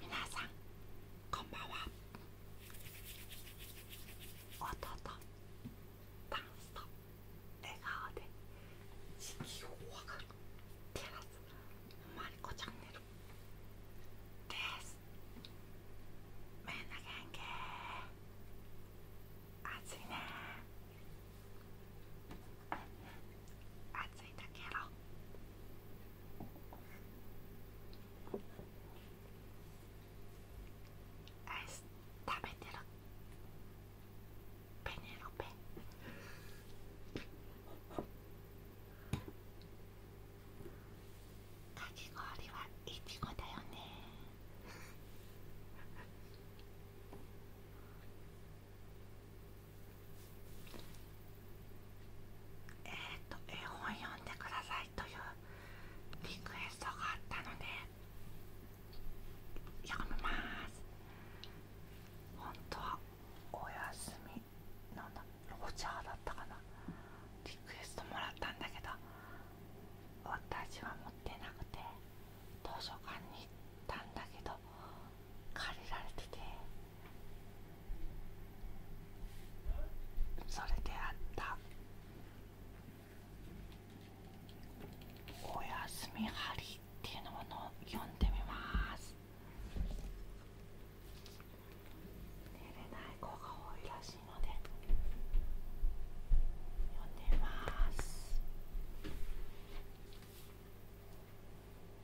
みなさんこんばんはおとと。ダンスと笑顔で地きを分かるテラスマリコチャンネルですみんなん気暑いね暑いだけどアイス食べてるペネロペかき氷はいちごだよねあえっ、と絵本読んでくださいというリクエストがあったので読みます本当はお休みのんだロャーだったかなリクエストもらったんだけど私は持ってなくて図書館に行ったんだけど借りられててそれであった「おやすみはり。っていうのを読んでみます寝れない子が多いらしいので読んでみます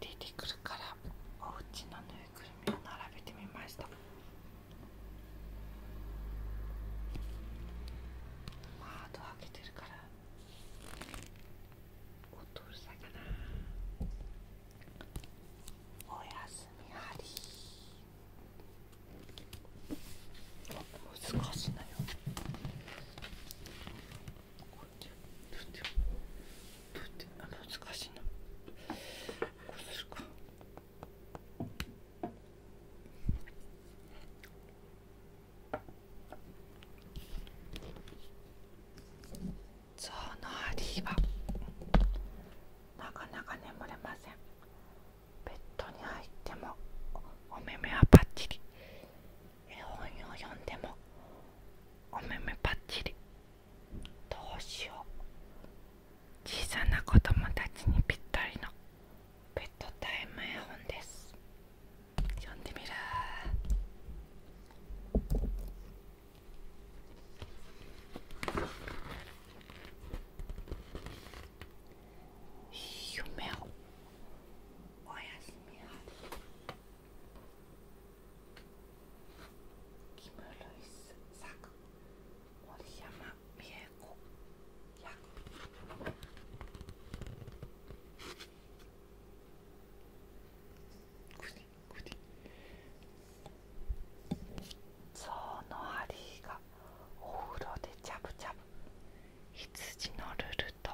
出てくるからおうちのぬいぐるみを並べてみましたまあド開けてるから音うるさいかなおやすみハリー難しいなよち、っ難しいなこうすかゾウのハリはなかなか眠れませんベッドに入ってもお目目はパっちり。絵本を読んでもお目目ぱっちりどうしよう小さな子供たちにぴったりのベッドタイム絵本です読んでみる夢をおやすみなさキム・ルイス作森山美恵子や。く役ゾウのハリーがお風呂でジャブジャブ羊のルルと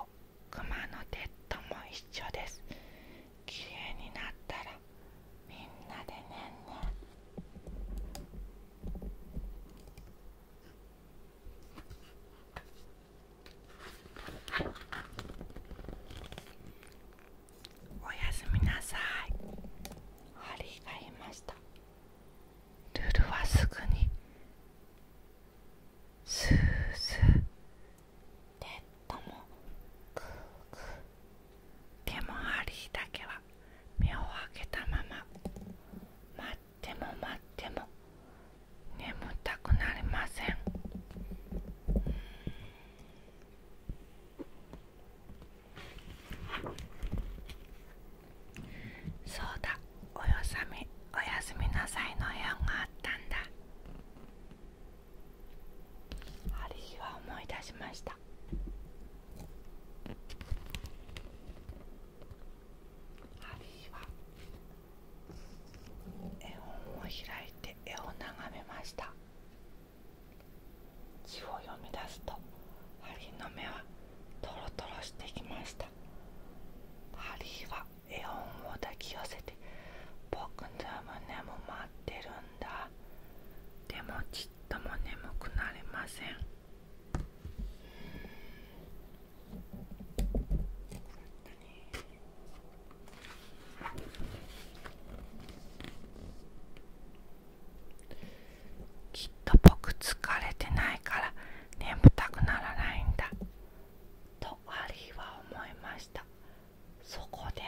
熊のテッドも一緒です綺麗になったらみんなでねんねんおやすみなさいハリーがいましたルルはすぐにスースーペットもグーグーでもハリーだけは目を開けたまま待っても待っても眠たくなりませんそうだおやすみおやすみなさいのようがあったんだある日は思い出しましたハリヒは絵本を開いて絵を眺めました字を読み出すとハリーの目はトロトロしてきましたハリヒは絵本を抱き寄せて僕の胸も待ってるんだでもちっとも眠くなりませんきっと僕疲れてないから眠たくならないんだとハリーは思いましたそこで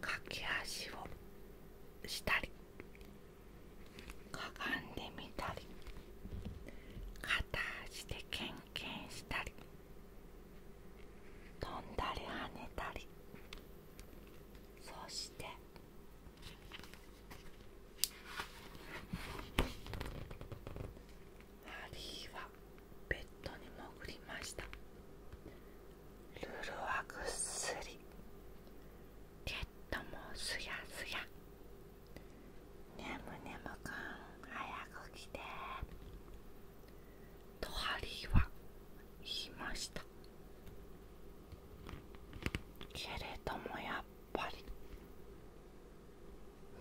駆け足をしたりかがんでみたり片足でけんけんしたり飛んだり跳ねたりそしてハリーはベッドに潜りましたルルはぐっすりケットもすやすやねむねむくん早く来てとハリーは言ましたけれどもやっぱり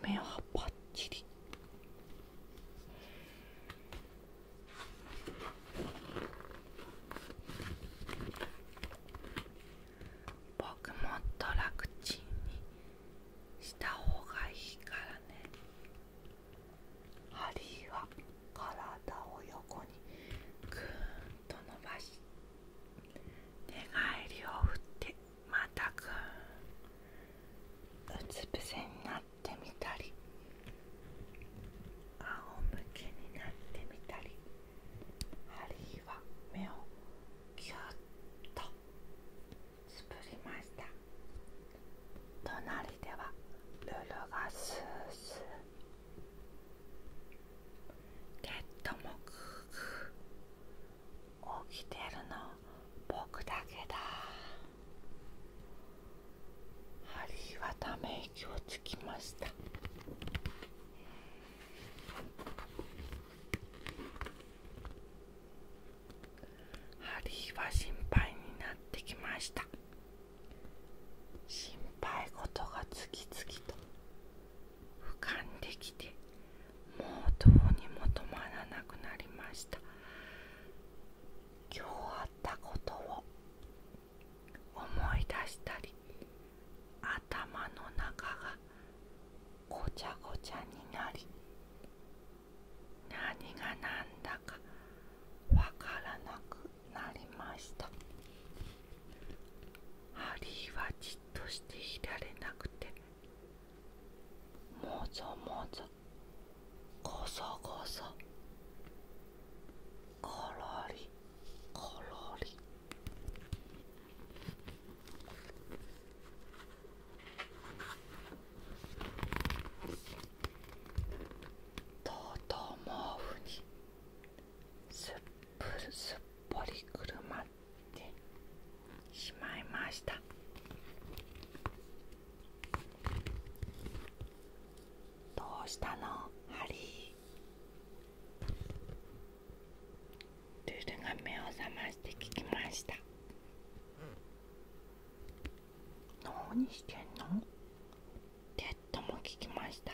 目はぱっちり僕もっと楽ちんにしたほうがいいからねハリーは体を横にぐーんと伸ばし寝返りを振ってまたぐんうつ伏せになってみたり仰向けになってみたりあるいは目をぎゅっとつぶりました隣ではルルがスースーペットもグーグ起きてるの僕だけだハリーはため息をつきましたハリーは心配になってきました心配事が次々とかんできてもうどうにも止まらなくなりました今日あったことを思い出したり頭の中がごちゃごちゃになり何がなんだかわからなくなりましたハリーはじっとしていられなくてもぞもぞこそこそころりころりとうとう毛布にすっぽりくるまってしまいましたどうしたのハリールルが目を覚まして聞きました何してんのテッドも聞きました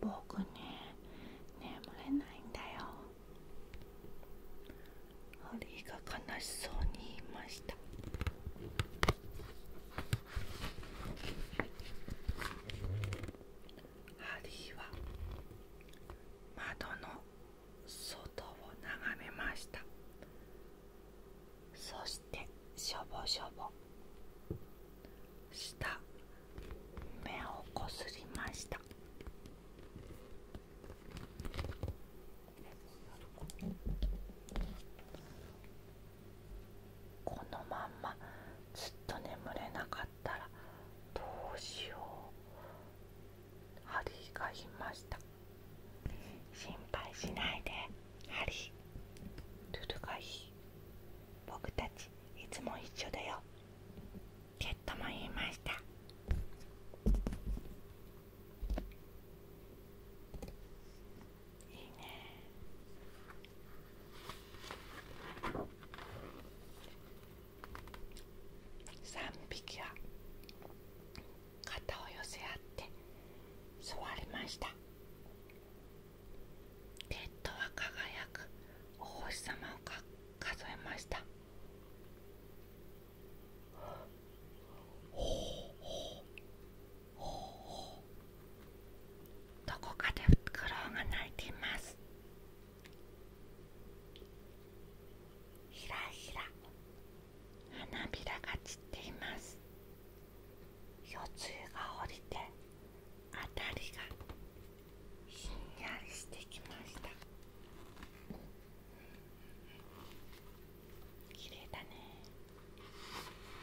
僕ね眠れないんだよハリーが悲しそうに言いましたハリーは窓の外を眺めましたそしてしょぼしょぼした目をこすりましたこのまんまずっと眠れなかったらどうしようハリが言いました心配しないでハリ僕たちいつも一緒だよケットも言いましたいいね3匹は肩を寄せ合って座りましたペットは輝くお星様をか数えましたどこかでフクロウが鳴いていますひらひら花びらが散っています腰痛が降りてあたりがひんやりしてきました綺麗だね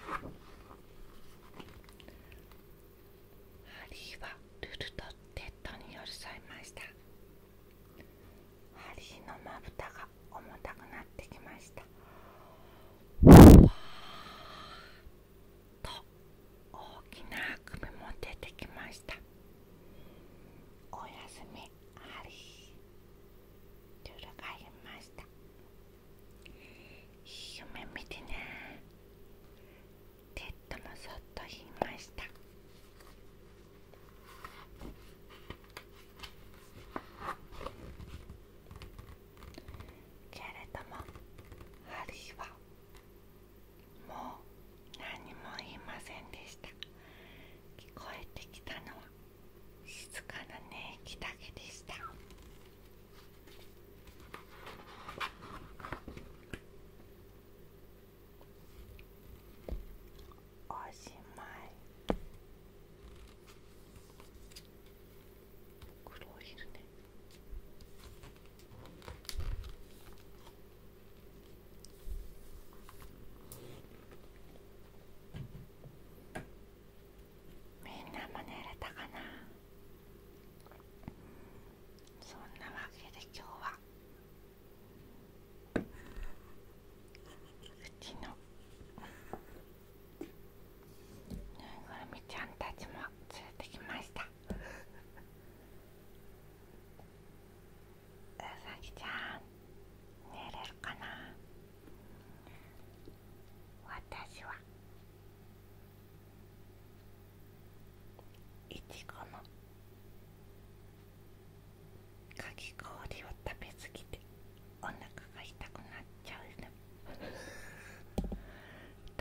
ハリーはルルとテッドに寄り添いましたハリーのまぶたが重たくなって。っきましたふわっと大きなあくびも出てきましたおやすみありといがいました夢見てねテッドもそっと言いましたけれどもある日はもう何も言いませんでした聞こえてきたのは静かな寝息だけでしたおしまい黒いるねみんなもられたかなそんなわけで今日はうちのぬいぐるみちゃんたちも連れてきましたうさぎちゃん寝れるかな私はいちごのかき氷を食べすぎてお腹が痛くなっちゃうの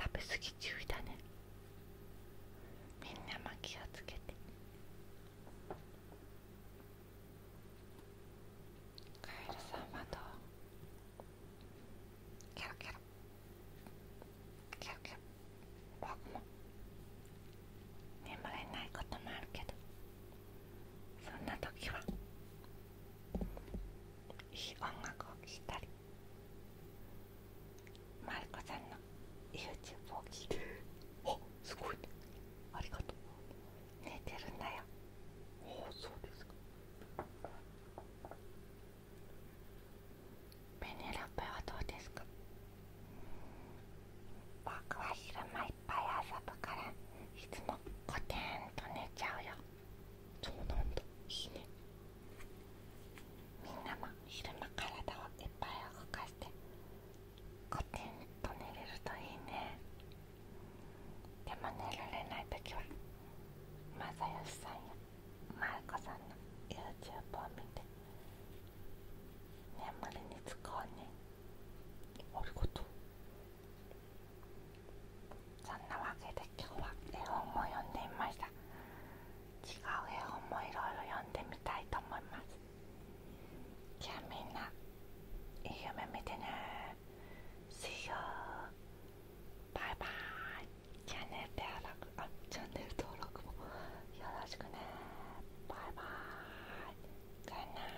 食べ過ぎ注意だねみんなも気をつけてカエルさんはどうケロケロキケロキケロ僕も眠れないこともあるけどそんな時は音楽を聴いたりマリコさんの YouTube を聴いてあすごいありがとう寝てるんだよおおそうですかベネラペはどうですか僕は昼間いっぱい遊ぶからいつもコテンと寝ちゃうよそうなんだねみんなも昼間体をいっぱい動かしてコテンと寝れるといいねでも寝られない時はまさよしさんやまるこさんの YouTube を見て眠りにつこうねおることそんなわけで今日は絵本も読んでみました違う絵本もいろいろ読んでみたいと思いますじゃあみんないい夢見てね See you バイバーイチャンネル登録あチャンネル登録もよろしくねバイバーイ Good n